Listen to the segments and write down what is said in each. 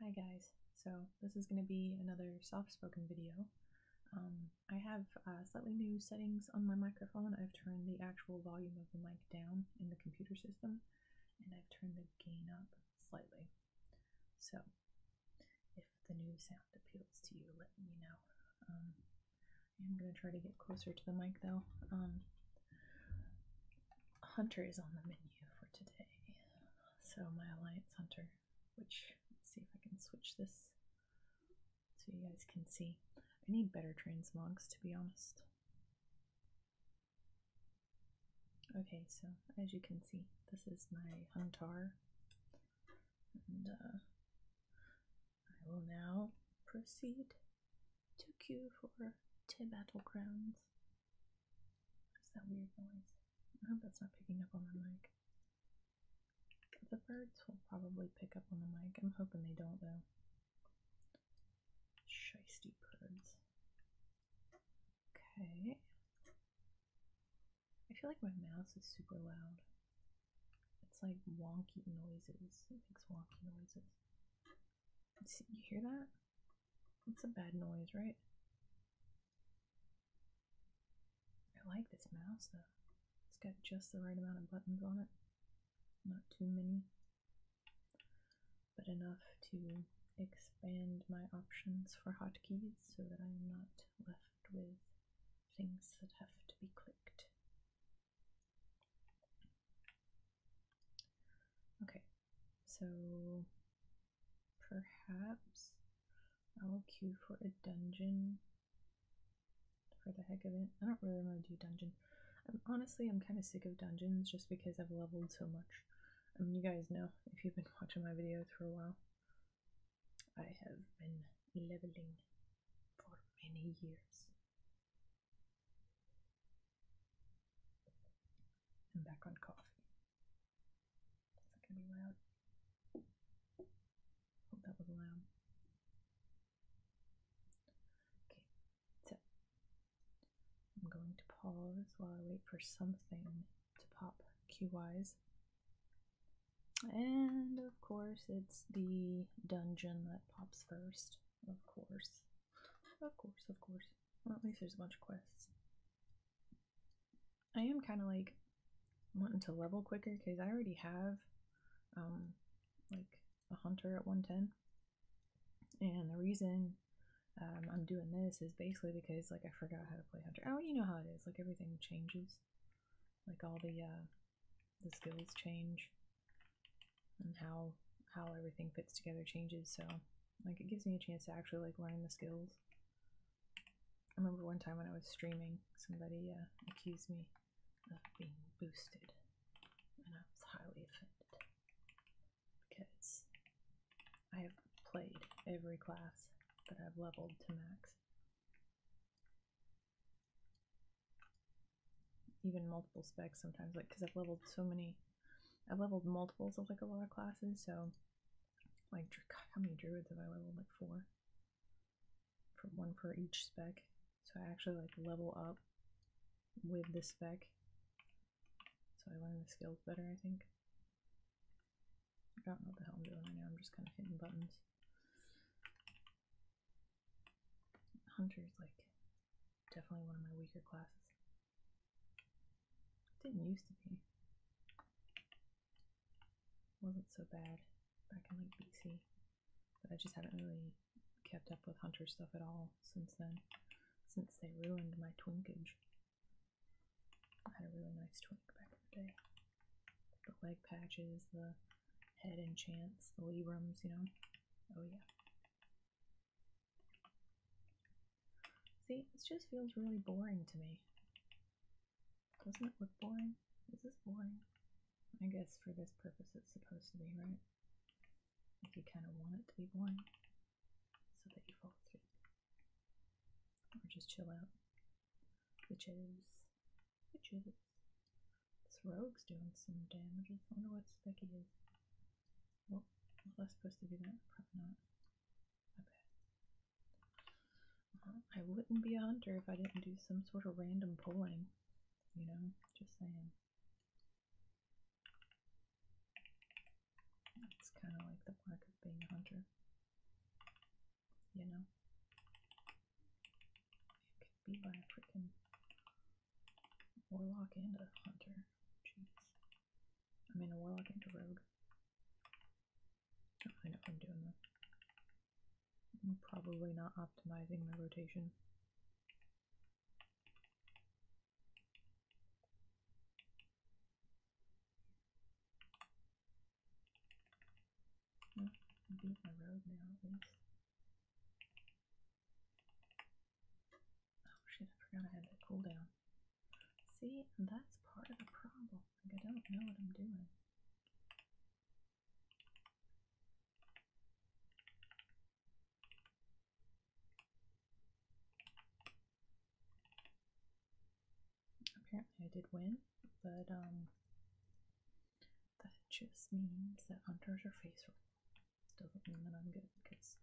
Hi guys, so this is going to be another soft-spoken video. Um, I have uh, slightly new settings on my microphone. I've turned the actual volume of the mic down in the computer system, and I've turned the gain up slightly. So, if the new sound appeals to you, let me know. Um, I'm going to try to get closer to the mic though. Um, hunter is on the menu for today. So my Alliance Hunter, which, let's see if I can switch this so you guys can see. I need better transmogs to be honest. Okay, so as you can see, this is my hunter. I will now proceed to queue for T Battlegrounds. What is that weird noise? I hope that's not picking up on the mic. The birds will probably pick up on the mic. I'm hoping they don't though. Shisty birds. Okay. I feel like my mouse is super loud. It's like wonky noises. It makes wonky noises. you hear that? It's a bad noise, right? I like this mouse though. It's got just the right amount of buttons on it. Not too many, but enough to expand my options for hotkeys so that I am not left with things that have to be clicked Okay, so perhaps I'll queue for a dungeon for the heck of it. I don't really want to do dungeon. I'm, honestly, I'm kind of sick of dungeons just because I've leveled so much. I mean, you guys know if you've been watching my videos for a while. I have been leveling for many years. And back on coffee. Is that going to be loud? Hope that was loud. Okay, so I'm going to pause while I wait for something to pop QYs. And of course, it's the dungeon that pops first, of course. Of course, of course. Well, at least there's a bunch of quests. I am kind of like wanting to level quicker because I already have um, like a hunter at 110. And the reason um, I'm doing this is basically because like I forgot how to play hunter. Oh, you know how it is. Like everything changes. Like all the uh, the skills change and how how everything fits together changes so like it gives me a chance to actually like learn the skills I remember one time when I was streaming somebody uh, accused me of being boosted and I was highly offended because I have played every class that I've leveled to max even multiple specs sometimes like because I've leveled so many I've leveled multiples of like a lot of classes so like how many druids have I leveled like four from one for each spec so I actually like level up with the spec so I learn the skills better I think I don't know what the hell I'm doing right now I'm just kind of hitting buttons Hunter's like definitely one of my weaker classes. Didn't used to be. Wasn't so bad back in like BC, but I just haven't really kept up with Hunter stuff at all since then. Since they ruined my twinkage. I had a really nice twink back in the day. The leg patches, the head and enchants, the Librams, you know. Oh yeah. See, this just feels really boring to me. Doesn't it look boring? Is this boring? I guess for this purpose it's supposed to be, right? If you kind of want it to be boring, so that you fall asleep. Or just chill out. Which is... which is... This rogue's doing some damage. I wonder what spec he is. Well, was I supposed to do that? Probably not. My bad. I wouldn't be a hunter if I didn't do some sort of random pulling. You know, just saying. It's kind of like the mark of being a hunter. You know? Could be by a freaking warlock and a hunter. Jeez. I mean, a warlock and a rogue. Oh, I know I'm doing that. I'm probably not optimizing my rotation. Oh, i road now at least. Oh shit, I forgot I had that cooldown. See, that's part of the problem. Like I don't know what I'm doing. Apparently I did win, but um that just means that hunters are face roll. Doesn't mean that I'm good, because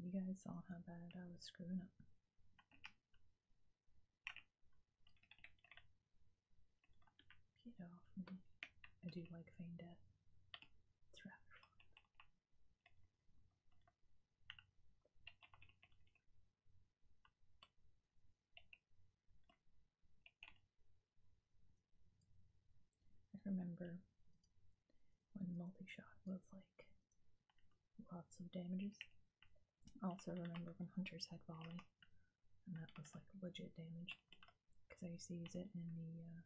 you guys saw how bad I was screwing up. Get off me. I do like Feign Death. It's rather I remember when multi-shot was like lots of damages. also remember when Hunter's had Volley, and that was like legit damage. Because I used to use it in the uh,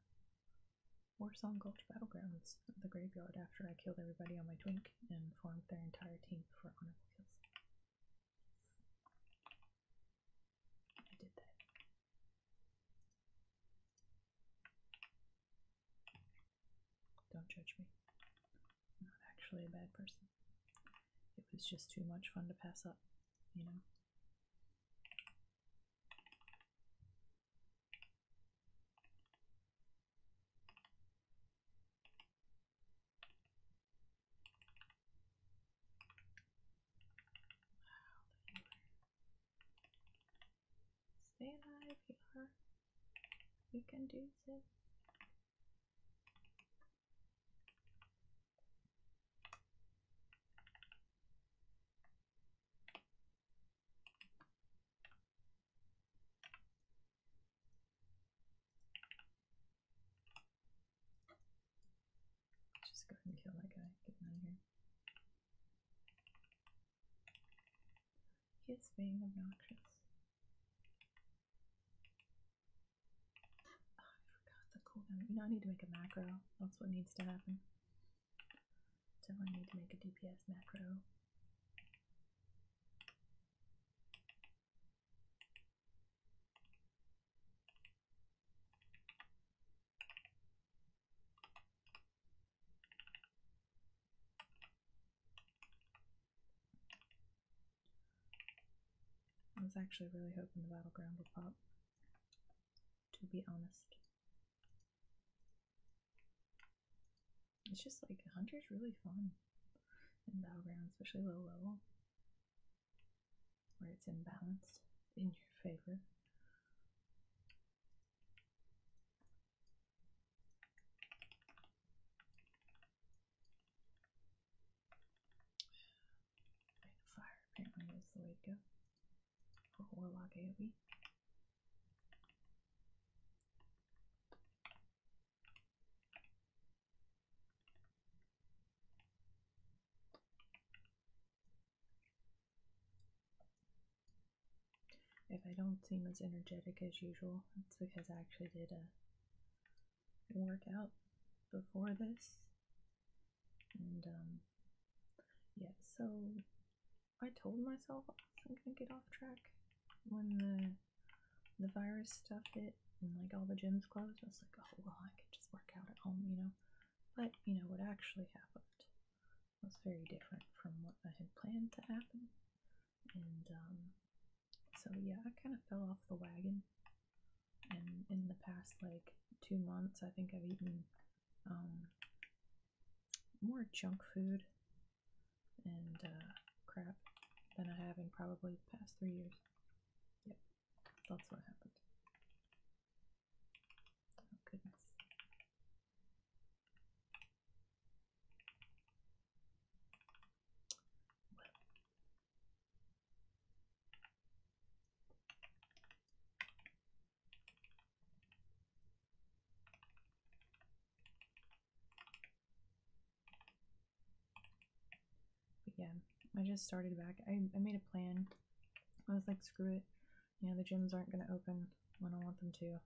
Warsong Gulch Battlegrounds, the graveyard, after I killed everybody on my twink and formed their entire team for honorable kills. I did that. Don't judge me. I'm not actually a bad person. It was just too much fun to pass up, you know? Stay alive, you are. can do this. Just go ahead and kill that guy. Get out of here. He is being obnoxious. Oh, I forgot the cooldown. You know, need to make a macro. That's what needs to happen. Definitely need to make a DPS macro. I was actually really hoping the battleground would pop, to be honest. It's just like Hunter's really fun in Battleground, especially low level where it's imbalanced in your favor. Fire apparently the way to go for Warlock if I don't seem as energetic as usual, it's because I actually did a uh, workout before this. And, um, yeah, so I told myself I'm gonna get off track when the the virus stuff hit and like all the gyms closed. I was like, oh well, I could just work out at home, you know. But you know what actually happened was very different from what I had planned to happen. And um, so yeah, I kind of fell off the wagon. And in the past like two months, I think I've eaten um, more junk food and uh, crap than I have in probably the past three years. Yep. That's what happened. Oh, goodness yeah, I just started back. I, I made a plan. I was like, screw it. You know, the gyms aren't going to open when I want them to.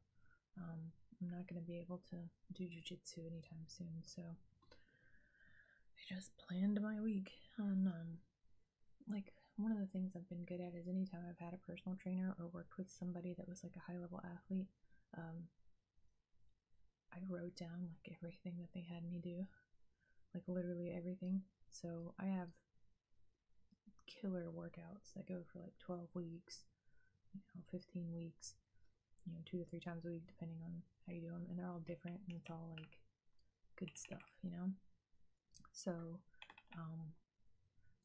Um, I'm not going to be able to do jujitsu anytime soon. So I just planned my week And um, like, one of the things I've been good at is anytime I've had a personal trainer or worked with somebody that was like a high level athlete, um, I wrote down like everything that they had me do like literally everything. So I have killer workouts that go for like 12 weeks, you know, 15 weeks, you know, two to three times a week, depending on how you do them. And they're all different and it's all like good stuff, you know? So, um,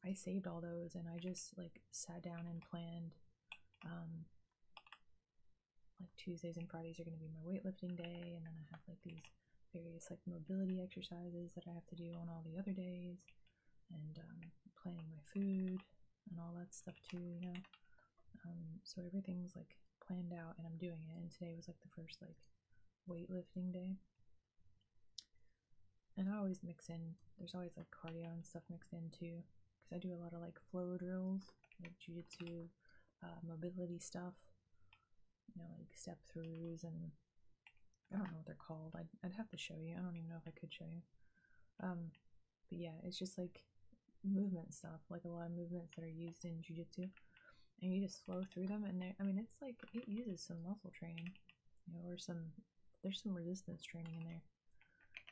I saved all those and I just like sat down and planned, um, like Tuesdays and Fridays are going to be my weightlifting day, and then I have like these various like mobility exercises that I have to do on all the other days, and um, planning my food and all that stuff too, you know. Um, so everything's like planned out, and I'm doing it. And today was like the first like weightlifting day, and I always mix in. There's always like cardio and stuff mixed in too, because I do a lot of like flow drills, like jujitsu, uh, mobility stuff you know, like step throughs and I don't know what they're called. I'd, I'd have to show you. I don't even know if I could show you. Um, but yeah, it's just like movement stuff, like a lot of movements that are used in jujitsu. And you just flow through them, and there, I mean, it's like it uses some muscle training, you know, or some there's some resistance training in there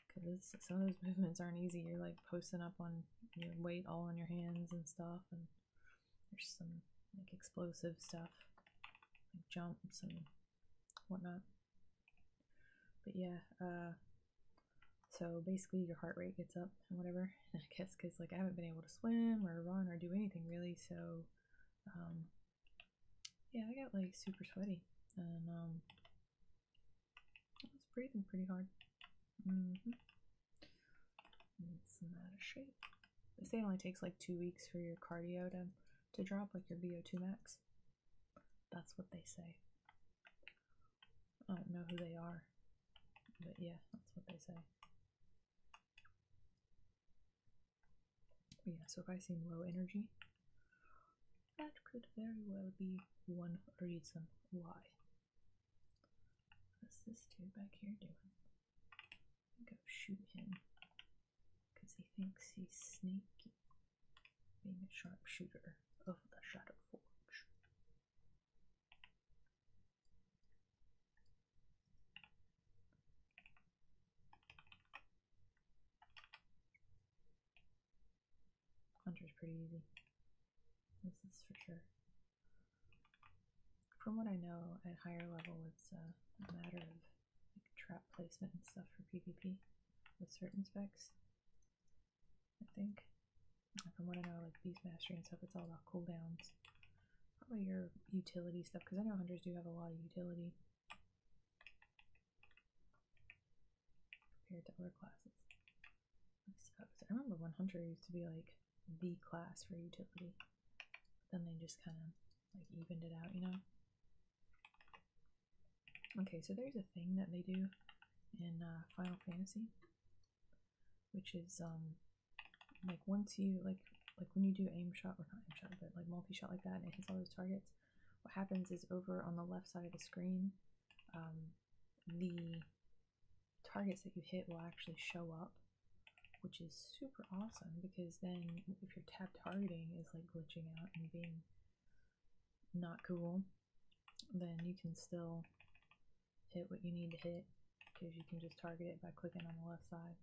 because some of those movements aren't easy. You're like posting up on your weight all on your hands and stuff, and there's some like explosive stuff, like jumps and whatnot. But yeah, uh, so basically your heart rate gets up and whatever. I guess because like I haven't been able to swim or run or do anything really, so um, yeah, I got like super sweaty and um, I was breathing pretty hard. Mm-hmm. It's not a shape. They say it only takes like two weeks for your cardio to, to drop, like your VO2 max. That's what they say. I don't know who they are, but yeah, that's what they say. yeah, so if I seem low energy, that could very well be one reason why What's this dude back here doing? I go shoot him because he thinks he's sneaky, being a sharpshooter of the Shadow Forge. Hunter's pretty easy. This is for sure. From what I know, at higher level, it's uh, a matter of trap placement and stuff for PvP with certain specs. I think. And from what I know, like Beast mastery and stuff, it's all about cooldowns. Probably your utility stuff, because I know hunters do have a lot of utility compared to other classes. I suppose. I remember 100 used to be like the class for utility. Then they just kind of like evened it out, you know? Okay, so there's a thing that they do in uh, Final Fantasy, which is um, like once you like like when you do aim shot or not aim shot, but like multi shot like that, and it hits all those targets. What happens is over on the left side of the screen, um, the targets that you hit will actually show up, which is super awesome because then if your tab targeting is like glitching out and being not cool, then you can still hit what you need to hit because you can just target it by clicking on the left side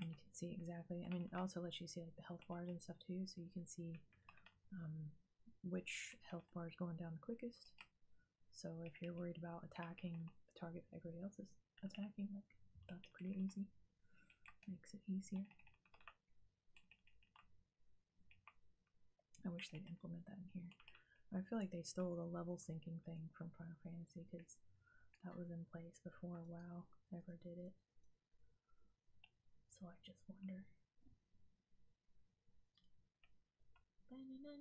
and you can see exactly. I mean, it also lets you see like the health bars and stuff too, so you can see um, which health bar is going down the quickest so if you're worried about attacking the target that everybody else is attacking, like that's pretty easy. Makes it easier. I wish they'd implement that in here. I feel like they stole the level sinking thing from Final Fantasy because that was in place before WoW ever did it. So I just wonder. Sorry,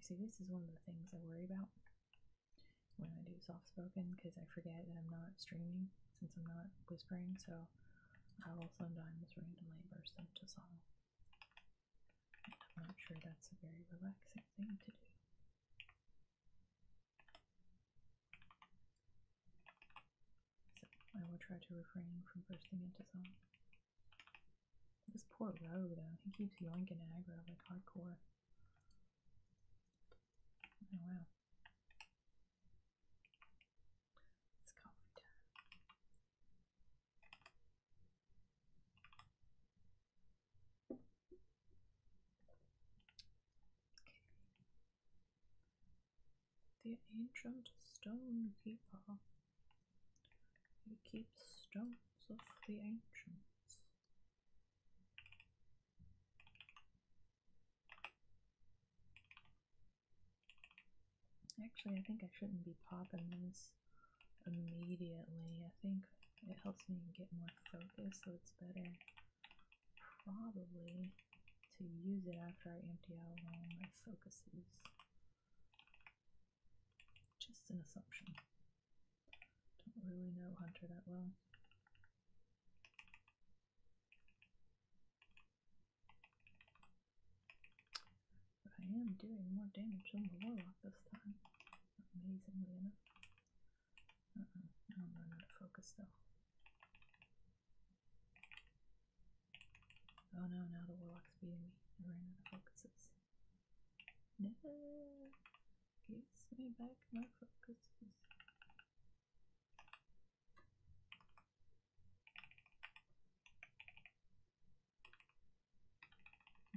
see, this is one of the things I worry about when I do soft spoken because I forget that I'm not streaming since I'm not whispering, so I will sometimes randomly burst into song. And I'm not sure that's a very relaxing thing to do. I will try to refrain from bursting into song. This poor Rogue though, he keeps yoinking aggro like hardcore. Oh wow. It's coffee time. The ancient stone keeper. He keeps stones of the ancients. Actually, I think I shouldn't be popping this immediately. I think it helps me get more focus, so it's better probably to use it after I empty out all my focuses. Just an assumption. Don't really know Hunter that well. But I am doing more damage on the warlock this time, amazingly enough. Uh -oh. No, they not focused though. Oh no, now the warlock's beating me. I ran out of focuses. No! Gives me back my focuses.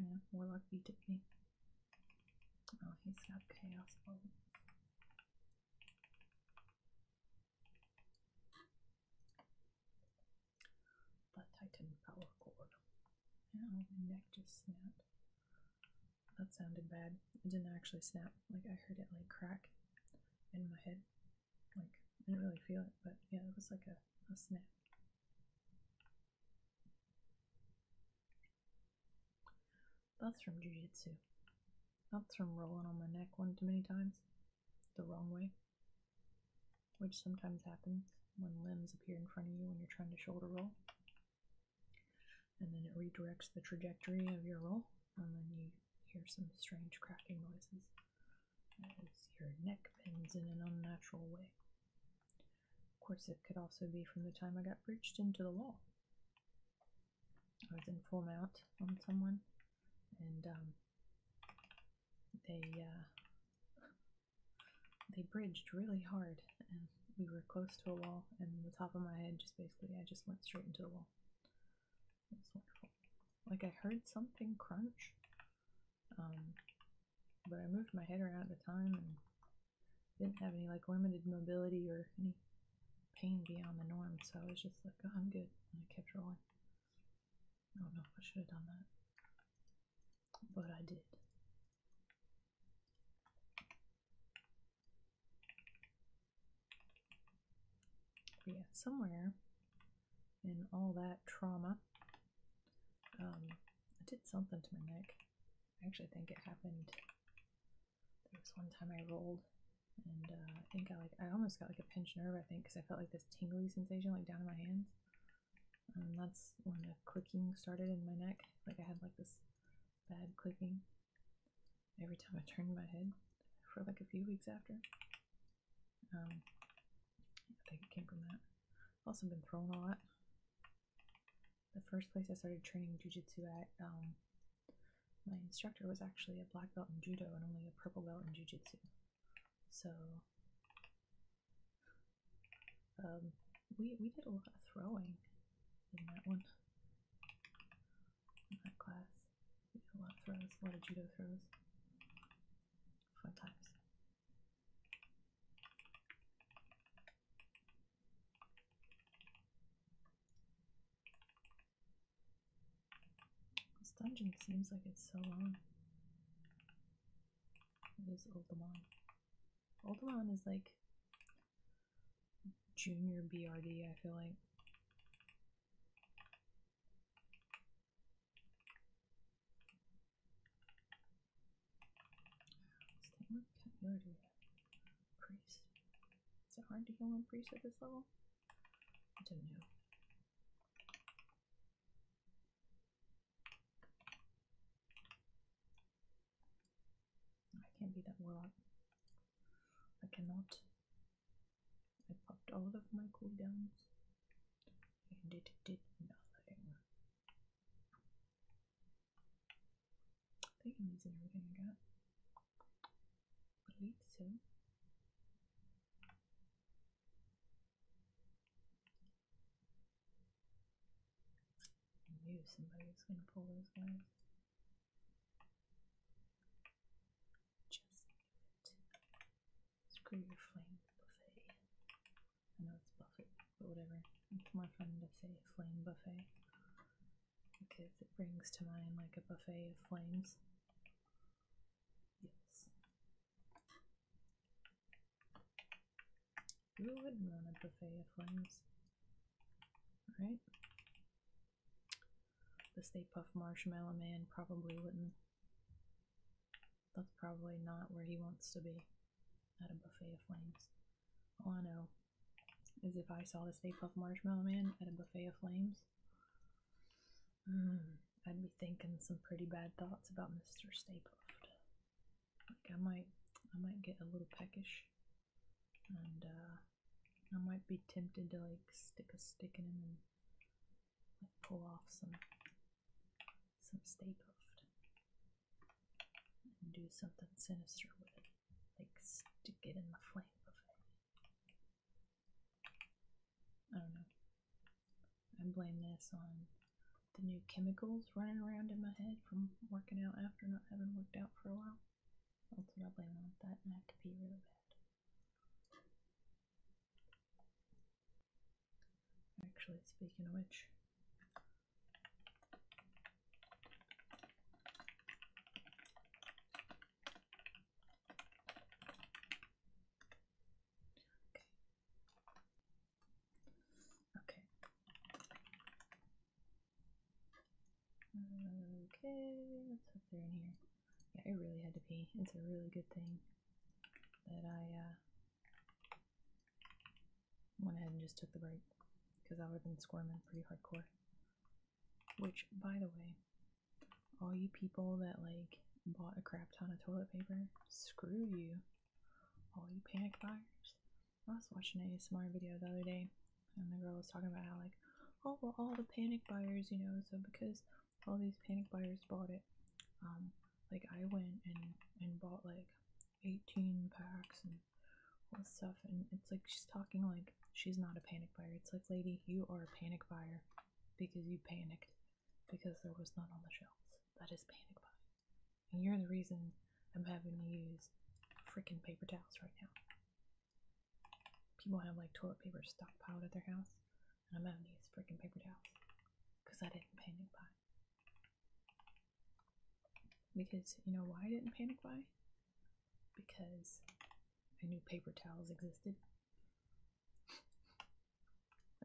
Yeah, warlock beat me. Oh, he's chaos ball. The Titan power cord. Ow, my neck just snapped. That sounded bad. It didn't actually snap. Like I heard it like crack in my head. Like I didn't really feel it, but yeah, it was like a snap. That's from jujitsu. That's from rolling on my neck one too many times. The wrong way. Which sometimes happens when limbs appear in front of you when you're trying to shoulder roll. And then it redirects the trajectory of your roll, and then you hear some strange cracking noises as your neck bends in an unnatural way. Of course, it could also be from the time I got breached into the wall. I was in full mount on someone, and um, they uh, they bridged really hard, and we were close to a wall, and the top of my head just basically I just went straight into the wall. It was wonderful. Like I heard something crunch, um, but I moved my head around at the time, and didn't have any like limited mobility or any pain beyond the norm, so I was just like, oh, I'm good, and I kept rolling. I don't know if I should have done that, but I did. yeah, somewhere in all that trauma, um, I did something to my neck. I actually think it happened there was one time I rolled, and uh, I think I like I almost got like a pinched nerve. I think because I felt like this tingly sensation like down in my hands. and um, that's when the clicking started in my neck. Like I had like this bad clicking every time I turned my head for like a few weeks after. Um, I think it came from that. also been throwing a lot. The first place I started training jujitsu at, um, my instructor was actually a black belt in judo and only a purple belt in jujitsu. So um, we we did a lot of throwing in that one. In that class. We did a lot of throws, a lot of judo throws. Fun times. This dungeon seems like it's so long. It is Old one is like junior BRD, I feel like. Is it hard to heal one priest at this level? I don't know. I can't be that warlock. I cannot. I popped all of my cooldowns and it did nothing. I think I'm in everything I got. I believe so. I knew somebody was going to pull those guys. Just Screw your flame buffet. I know it's buffet, but whatever. It's more fun to say flame buffet. Because it brings to mind like a buffet of flames. Yes. Who wouldn't want a buffet of flames? Alright. The Stay Puff Marshmallow Man probably wouldn't. That's probably not where he wants to be. At a buffet of flames. Oh, I know. As if I saw the Stay Puft Marshmallow Man at a buffet of flames. Mm, I'd be thinking some pretty bad thoughts about Mr. Stay Puft. I might, I might get a little peckish, and uh, I might be tempted to like stick a stick in him and pull off some, some Stay Puft, and do something sinister with it like stick it in the flame of it. I don't know. I blame this on the new chemicals running around in my head from working out after not having worked out for a while. That's what I blame that, I have to be really bad. Actually, speaking of which, Okay. Okay, let's up there in here. Yeah, I really had to pee. It's a really good thing that I uh, went ahead and just took the break because I would have been squirming pretty hardcore. Which, by the way, all you people that like bought a crap ton of toilet paper, screw you. All you panic buyers. I was watching a ASMR video the other day, and the girl was talking about how like, oh well, all the panic buyers, you know, so because all these panic buyers bought it, um, like I went and and bought like 18 packs and this stuff and it's like she's talking like she's not a panic buyer it's like lady you are a panic buyer because you panicked because there was none on the shelves that is panic buying and you're the reason i'm having to use freaking paper towels right now people have like toilet paper stockpiled at their house and i'm having to use freaking paper towels because i didn't panic buy because you know why i didn't panic buy because I knew paper towels existed.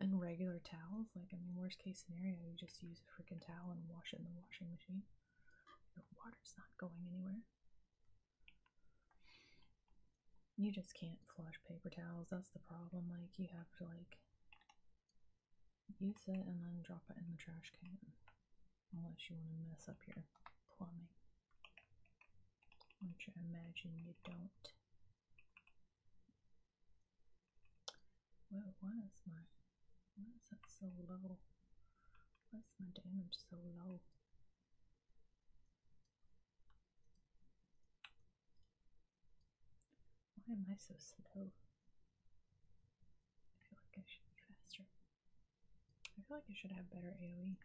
And regular towels, like, I mean, worst case scenario, you just use a freaking towel and wash it in the washing machine. Your water's not going anywhere. You just can't flush paper towels, that's the problem. Like, you have to, like, use it and then drop it in the trash can. Unless you want to mess up your plumbing. Which I imagine you don't. Well, why is my why is that so low? Why is my damage so low? Why am I so slow? I feel like I should be faster. I feel like I should have better AoE.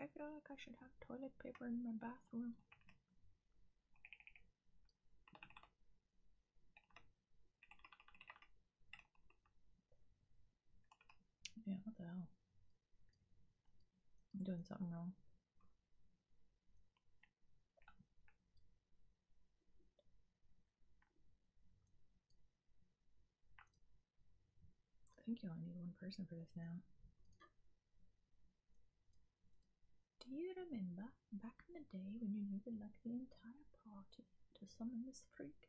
I feel like I should have toilet paper in my bathroom. Yeah, what the hell? I'm doing something wrong. I think you only need one person for this now. Do you remember back in the day when you needed like the entire party to summon this freak?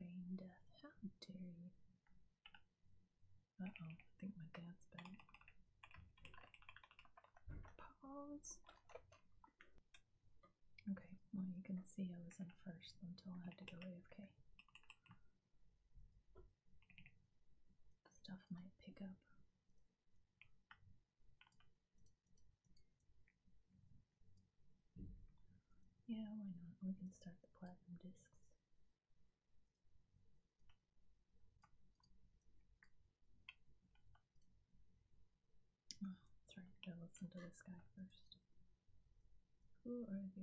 Rain death, how dare you? Uh oh, I think my dad's back. Pause. Okay, well, you can see I was in first until I had to go AFK. Stuff might pick up. Yeah, why not? We can start the platinum discs. Oh, gotta listen to this guy first. Who are the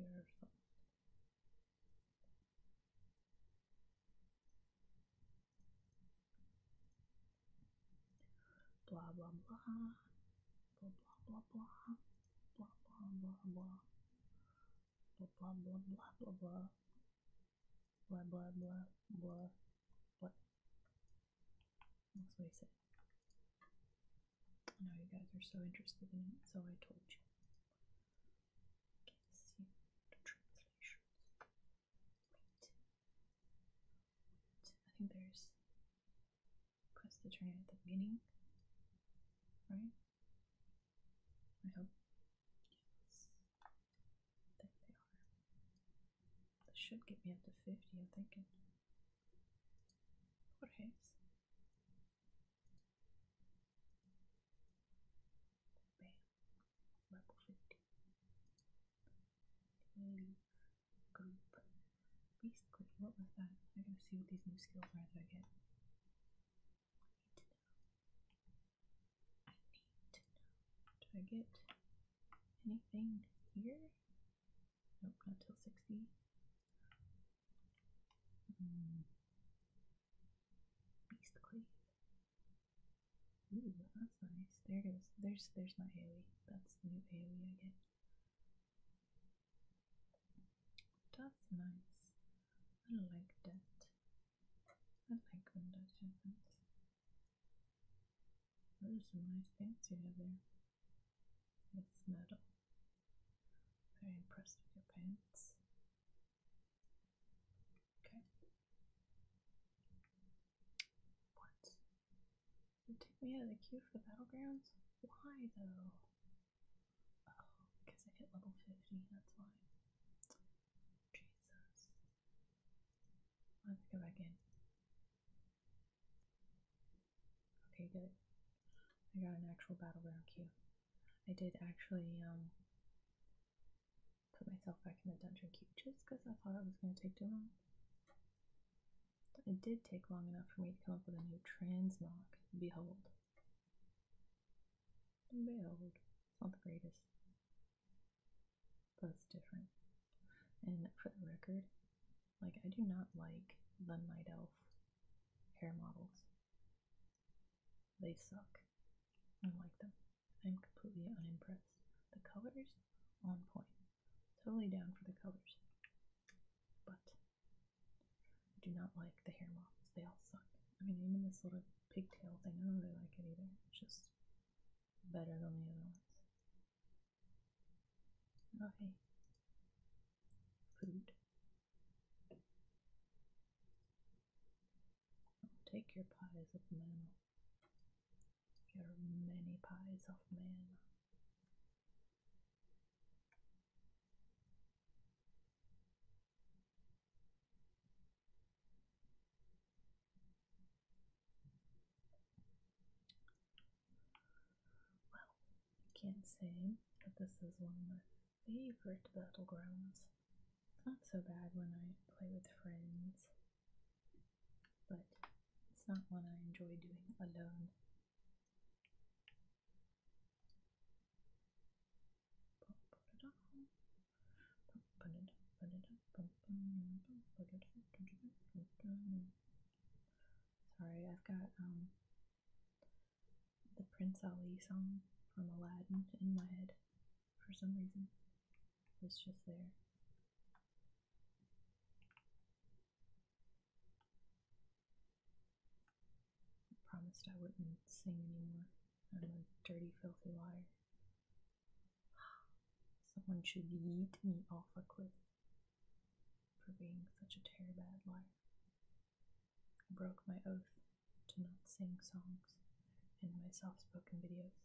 Blah blah blah blah blah blah blah blah blah blah blah blah blah blah blah blah blah blah blah blah what that's what I said. I you guys are so interested in it, so I told you. Okay, see the translations. I think there's press the train at the beginning, right? I hope. Yes. that they are. This should get me up to 50, I'm thinking. What is? Bam. Level 50. Leave group. Basically, what was that? I gotta see what these new skills are that I get. I need to know. I need to know. Do I get anything here? Nope, not till 60. Mm. Beast Cleave. Ooh, that's nice. There goes. There's there's my AoE. That's the new AoE I get. That's nice. I like that. I like when that happens. Those are some nice things you have there. It's metal. Very impressed with your pants. Okay. What you took me out of the queue for the battlegrounds? Why though? Oh, because I hit level 50, that's why. Jesus. Let's go back in. Okay, good. I got an actual battleground queue. I did actually um put myself back in the dungeon queue just because I thought it was going to take too long. It did take long enough for me to come up with a new transmog. Behold. Behold. It's not the greatest. But it's different. And for the record, like, I do not like the Night Elf hair models. They suck. I don't like them. I'm completely unimpressed. The colors, on point. Totally down for the colors. But I do not like the hair models. They all suck. I mean, even this little pigtail thing, I don't really like it either. It's just better than the other ones. Oh, Food. take your pies of man. Your many pies of man. Well, I can't say that this is one of my favorite battlegrounds. It's not so bad when I play with friends, but it's not one I enjoy doing alone. Sorry, I've got um the Prince Ali song from Aladdin in my head for some reason. It's just there. I promised I wouldn't sing anymore. I'm a dirty, filthy liar. Someone should eat me off a cliff for being such a terrible liar. I broke my oath to not sing songs in my self spoken videos.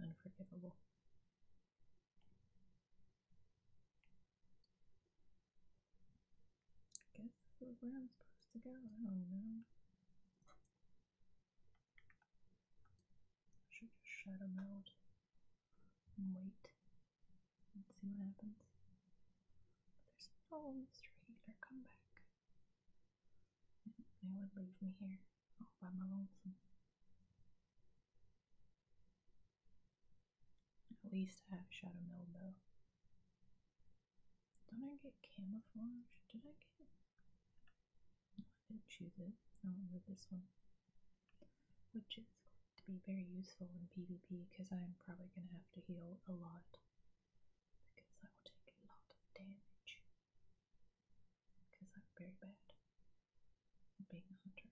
Unforgivable. I guess where I'm supposed to go. I don't know. should just shut them out and wait and see what happens. there's no mystery or come they would leave me here all by my at least I have Shadow Melbow. Don't I get camouflage? Did I get it? I did not choose it. I went with this one. Which is going to be very useful in PvP because I'm probably going to have to heal a lot. Because I will take a lot of damage. Because I'm very bad being a hunter.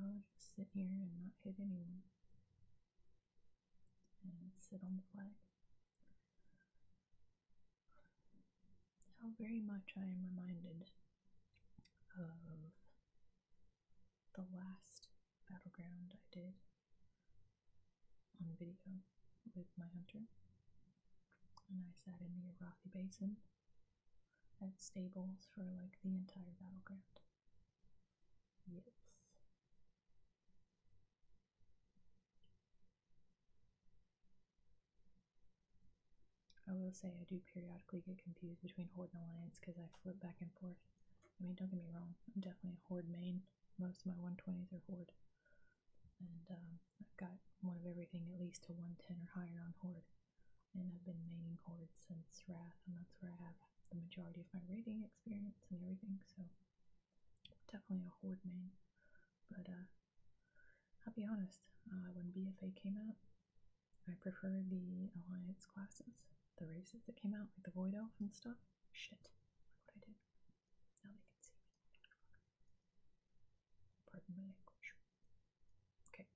I'll just sit here and not hit anyone. And sit on the flag. How very much I am reminded of the last battleground I did on video with my hunter. And I sat in the Arathi Basin at stables for like the entire battleground. Yes. I will say I do periodically get confused between Horde and Alliance because I flip back and forth. I mean, don't get me wrong, I'm definitely a Horde main. Most of my 120s are Horde and um, I've got one of everything at least to 110 or higher on Horde, and I've been maining Horde since Wrath, and that's where I have the majority of my raiding experience and everything, so definitely a Horde main, but uh, I'll be honest, uh, when BFA came out, I prefer the Alliance classes, the races that came out, like the Void Elf and stuff. Shit, look what I did. Now they can see Pardon my language. Okay.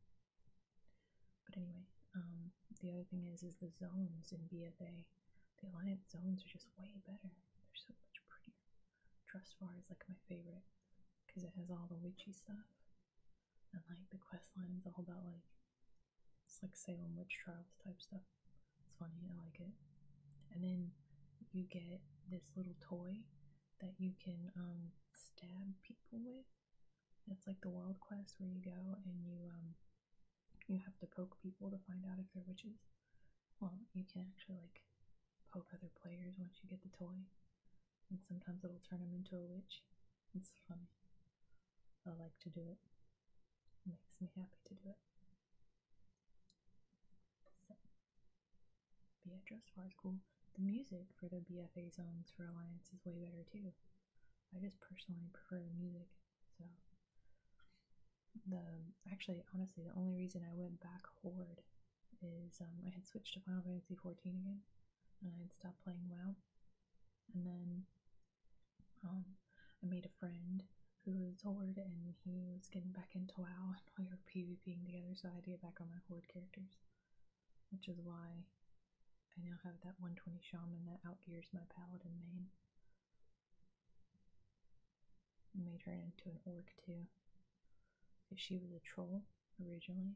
But anyway, um, the other thing is, is the zones in BFA. The Alliance zones are just way better. They're so much prettier. Trustfar is like my favorite because it has all the witchy stuff, and like the quest line is all about like it's like Salem witch trials type stuff. It's funny, I like it. And then you get this little toy that you can um, stab people with. It's like the world quest where you go and you um, you have to poke people to find out if they're witches. Well, you can actually like poke other players once you get the toy, and sometimes it'll turn them into a witch. It's funny. I like to do it. It makes me happy to do it. Be Beatrice High School. The music for the BFA songs for Alliance is way better too. I just personally prefer the music, so the actually honestly the only reason I went back Horde is um, I had switched to Final Fantasy XIV again, and I had stopped playing WoW, and then um, I made a friend who was Horde and he was getting back into WoW and we were PvPing together, so I had to get back on my Horde characters. Which is why I now have that 120 Shaman that outgears my Paladin main. I made her into an orc too. She was a troll originally,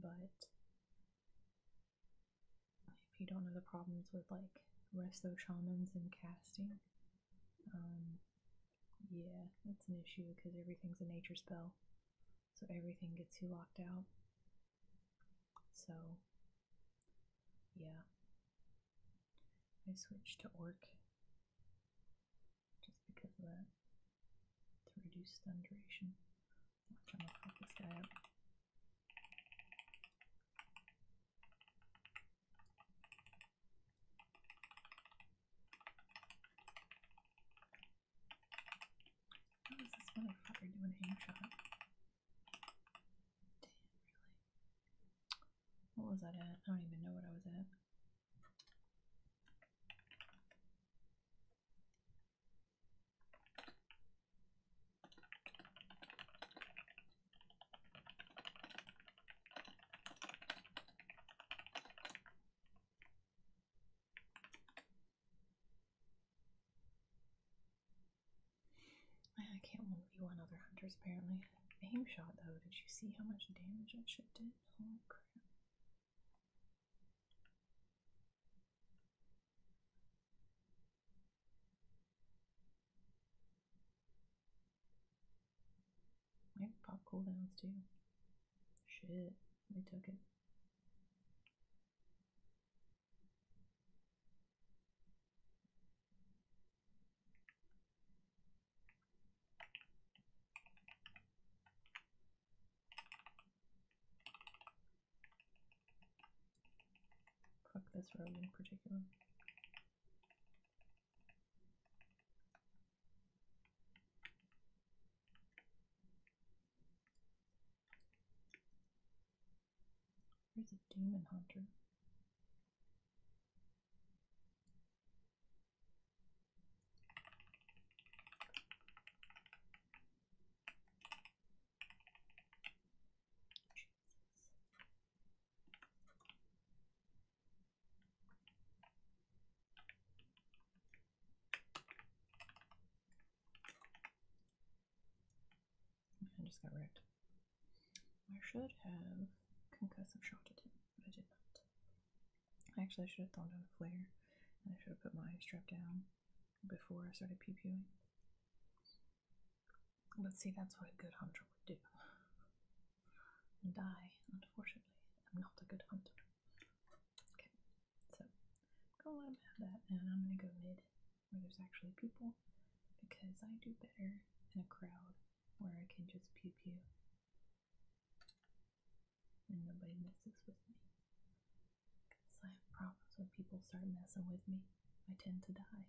but if you don't know the problems with like resto shamans and casting, um, yeah, that's an issue because everything's a nature spell, so everything gets you locked out. So, yeah. I switched to Orc just because of that to reduce stun duration. I'm trying to fuck this guy up. How does this motherfucker do an aim shot? Damn, What was that at? I don't even know what I was at. I can't only be one other hunter's apparently. Aim shot though, did you see how much damage I should did? Oh crap. I have pop cooldowns too. Shit, they took it. Fuck this road in particular. There's a demon hunter. I just got wrecked. I should have concussive shot at him, but I did not. Actually, I should have thrown down a flare, and I should have put my strap down before I started pew pewing. But see, that's what a good hunter would do. And I, unfortunately, am not a good hunter. Okay, so I'm gonna let him have that, and I'm gonna go mid where there's actually people because I do better in a crowd where I can just pew pew and nobody messes with me. Because I have problems when people start messing with me, I tend to die.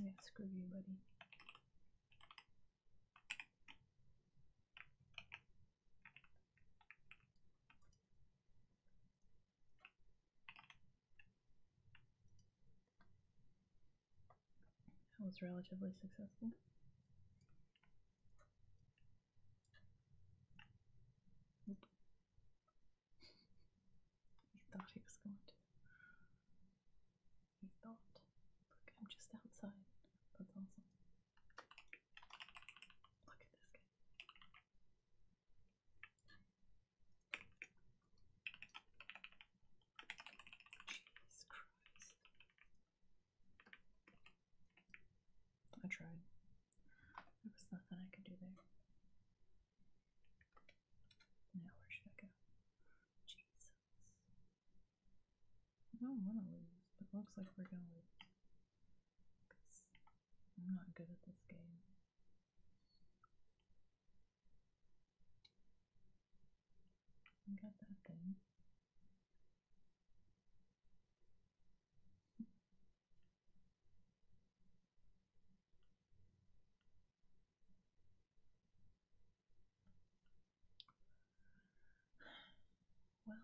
Yeah, screw you, buddy. That was relatively successful he thought he was going to. He thought. Look, I'm just outside. That's awesome. Look at this guy. Jesus Christ. I tried. There was nothing I could do there. Now where should I go? Jesus. I don't want to lose, it looks like we're going to lose. I'm not good at this game. got that thing. Well,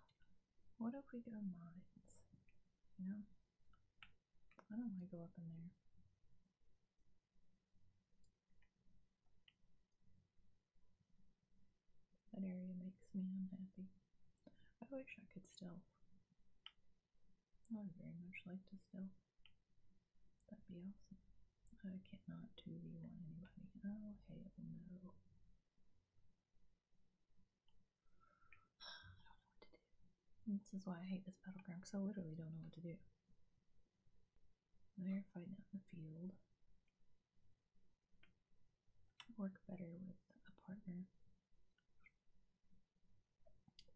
what if we go mines? You know? I don't want to go up in there. That area makes me unhappy. I wish I could stealth. I would very much like to stealth. That'd be awesome. I cannot do the one anybody. Oh, hell no. I don't know what to do. This is why I hate this battleground, because I literally don't know what to do. They're fighting out in the field. Work better with a partner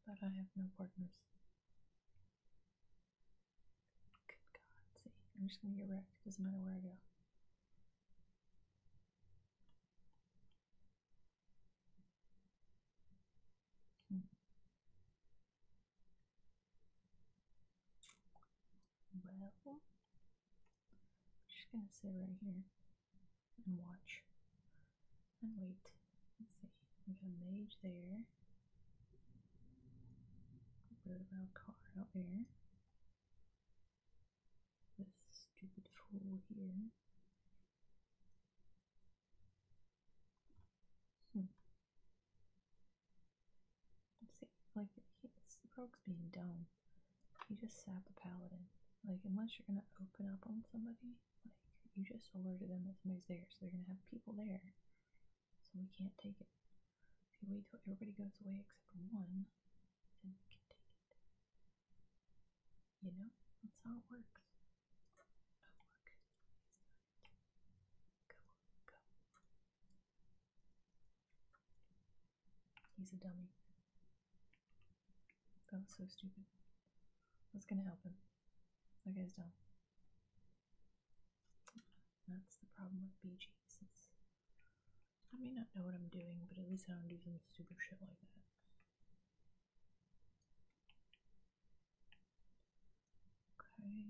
but I have no partners. Good God, see, I'm just gonna get wrecked. Doesn't matter where I go. Hmm. Well, just gonna sit right here and watch and wait. Let's see. We got a mage there. Bird of Alcar out there. This stupid fool here. Hmm. Let's see. Like, the frog's being dumb you just stab the paladin. Like, unless you're gonna open up on somebody, like, you just alerted them that somebody's there, so they're gonna have people there. So we can't take it. If you wait till everybody goes away except one, then we can take it. You know? That's how it works. He's a dummy. That was so stupid. What's gonna happen? That guy's down. That's the problem with BGs. I may not know what I'm doing, but at least I don't do some stupid shit like that. Okay.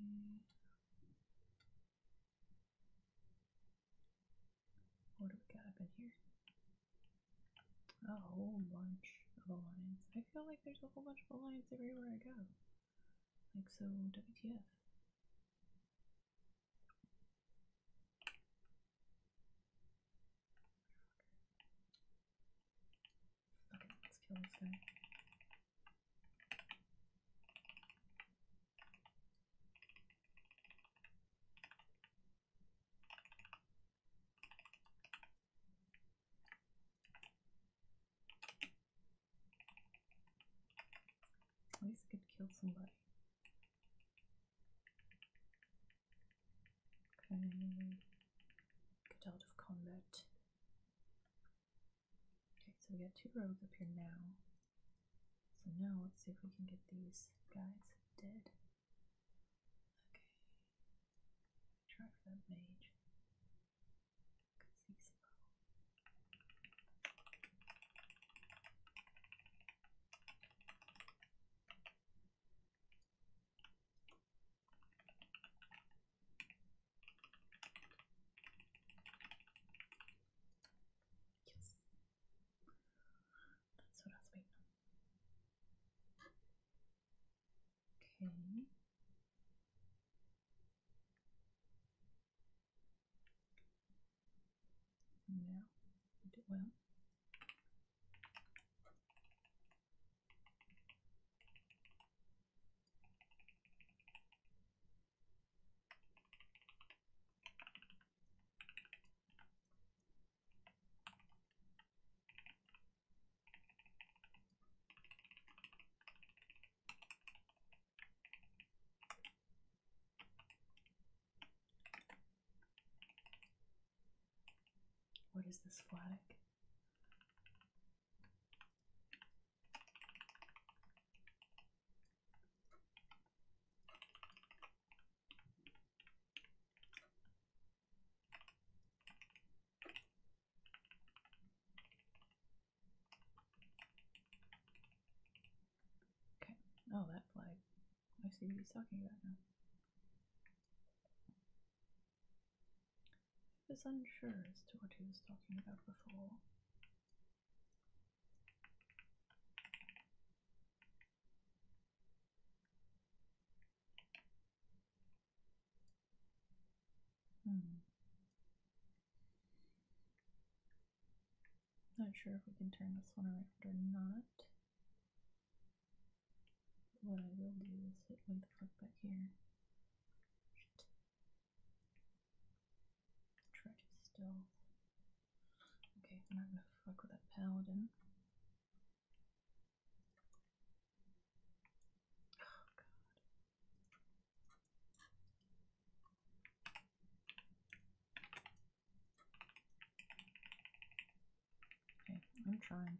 What do we got up in here? A whole bunch of alliance. I feel like there's a whole bunch of alliance everywhere I go. Like, so WTF. Okay, let's kill this guy. At least I could kill somebody. Okay, get out of combat. Okay, so we got two rows up here now. So now let's see if we can get these guys dead. Okay, track that page. I can Yes, that's what I was waiting for. Okay. And now well. What is this flatic? Okay. Oh, that flag. I see what he's talking about now. I was unsure as to what he was talking about before. Hmm. Not sure if we can turn this one around or not. What I will do is hit the back here. Try to stealth. Okay, I'm not gonna fuck with that paladin. Oh god. Okay, I'm trying.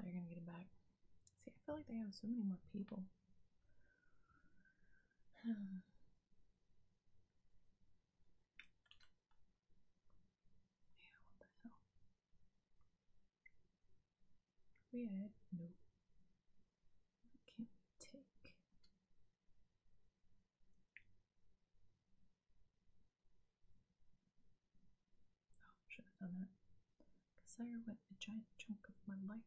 They're gonna get it back. See, I feel like they have so many more people. Hmm. Yeah, what the hell? Weird. No. What can we take? Oh, should have done that. Because I went a giant chunk of my life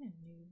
I'm a noob.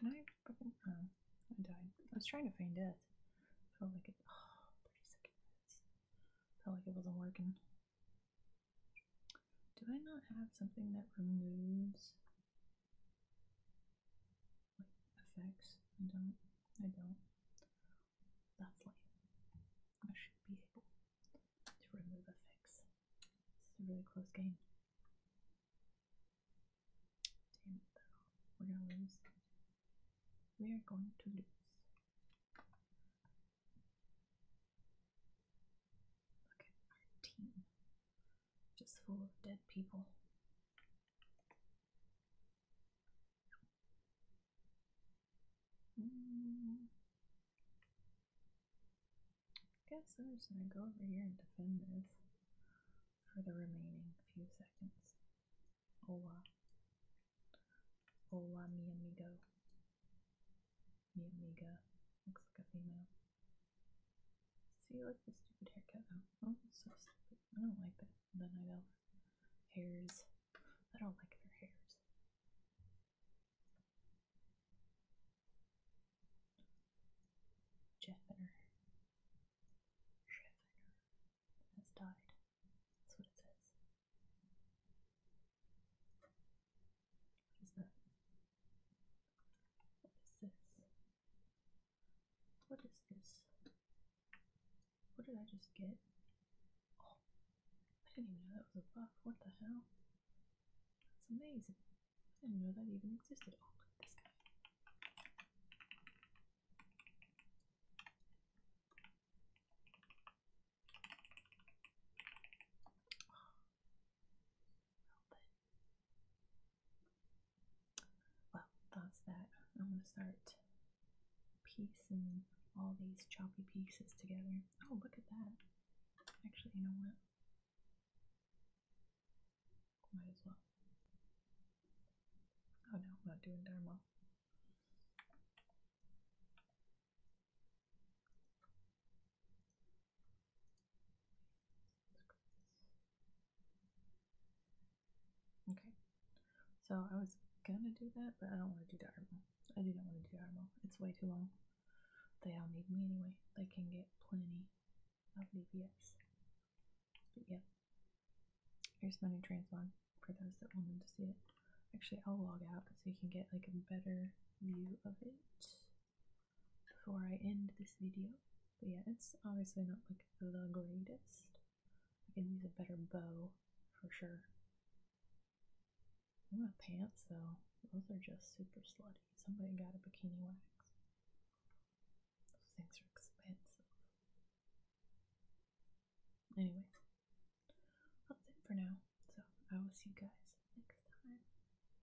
Can I fucking oh, I died. I was trying to feign death. Felt like it 30 seconds. Felt like it wasn't working. Do I not have something that removes effects. I don't. I don't. That's lame. I should be able to remove effects. This is a really close game. We're gonna lose. We are going to lose. Look our team just full of dead people. I mm. guess I'm just gonna go over here and defend this for the remaining few seconds. Hola. Hola, mi amigo. Mi amiga. Looks like a female. See, so like the stupid haircut. Oh, so stupid. I don't like that. The night elf hairs. I don't like their hairs. Jeffner. Jeffner has died. That's what it says. What is that? What is this? What is this? What did I just get? Oh, I didn't even know that was a buff. What the hell? That's amazing. I didn't know that even existed. Oh, well, that's that. I'm gonna start piecing all these choppy pieces together. Oh, look at that. Actually, you know what? Might as well. Oh no, I'm not doing Dharma. Okay. So I was gonna do that, but I don't want to do Darmo. I do not want to do Darmo. It's way too long. They all need me anyway. They can get plenty of DPS. But yeah. Here's my new transmon for those that wanted to see it. Actually, I'll log out so you can get like a better view of it before I end this video. But yeah, it's obviously not like the greatest. I can use a better bow for sure. What pants though? Those are just super slutty. Somebody got a bikini wax. Those things are expensive. Anyway, that's it for now. So I will see you guys next time.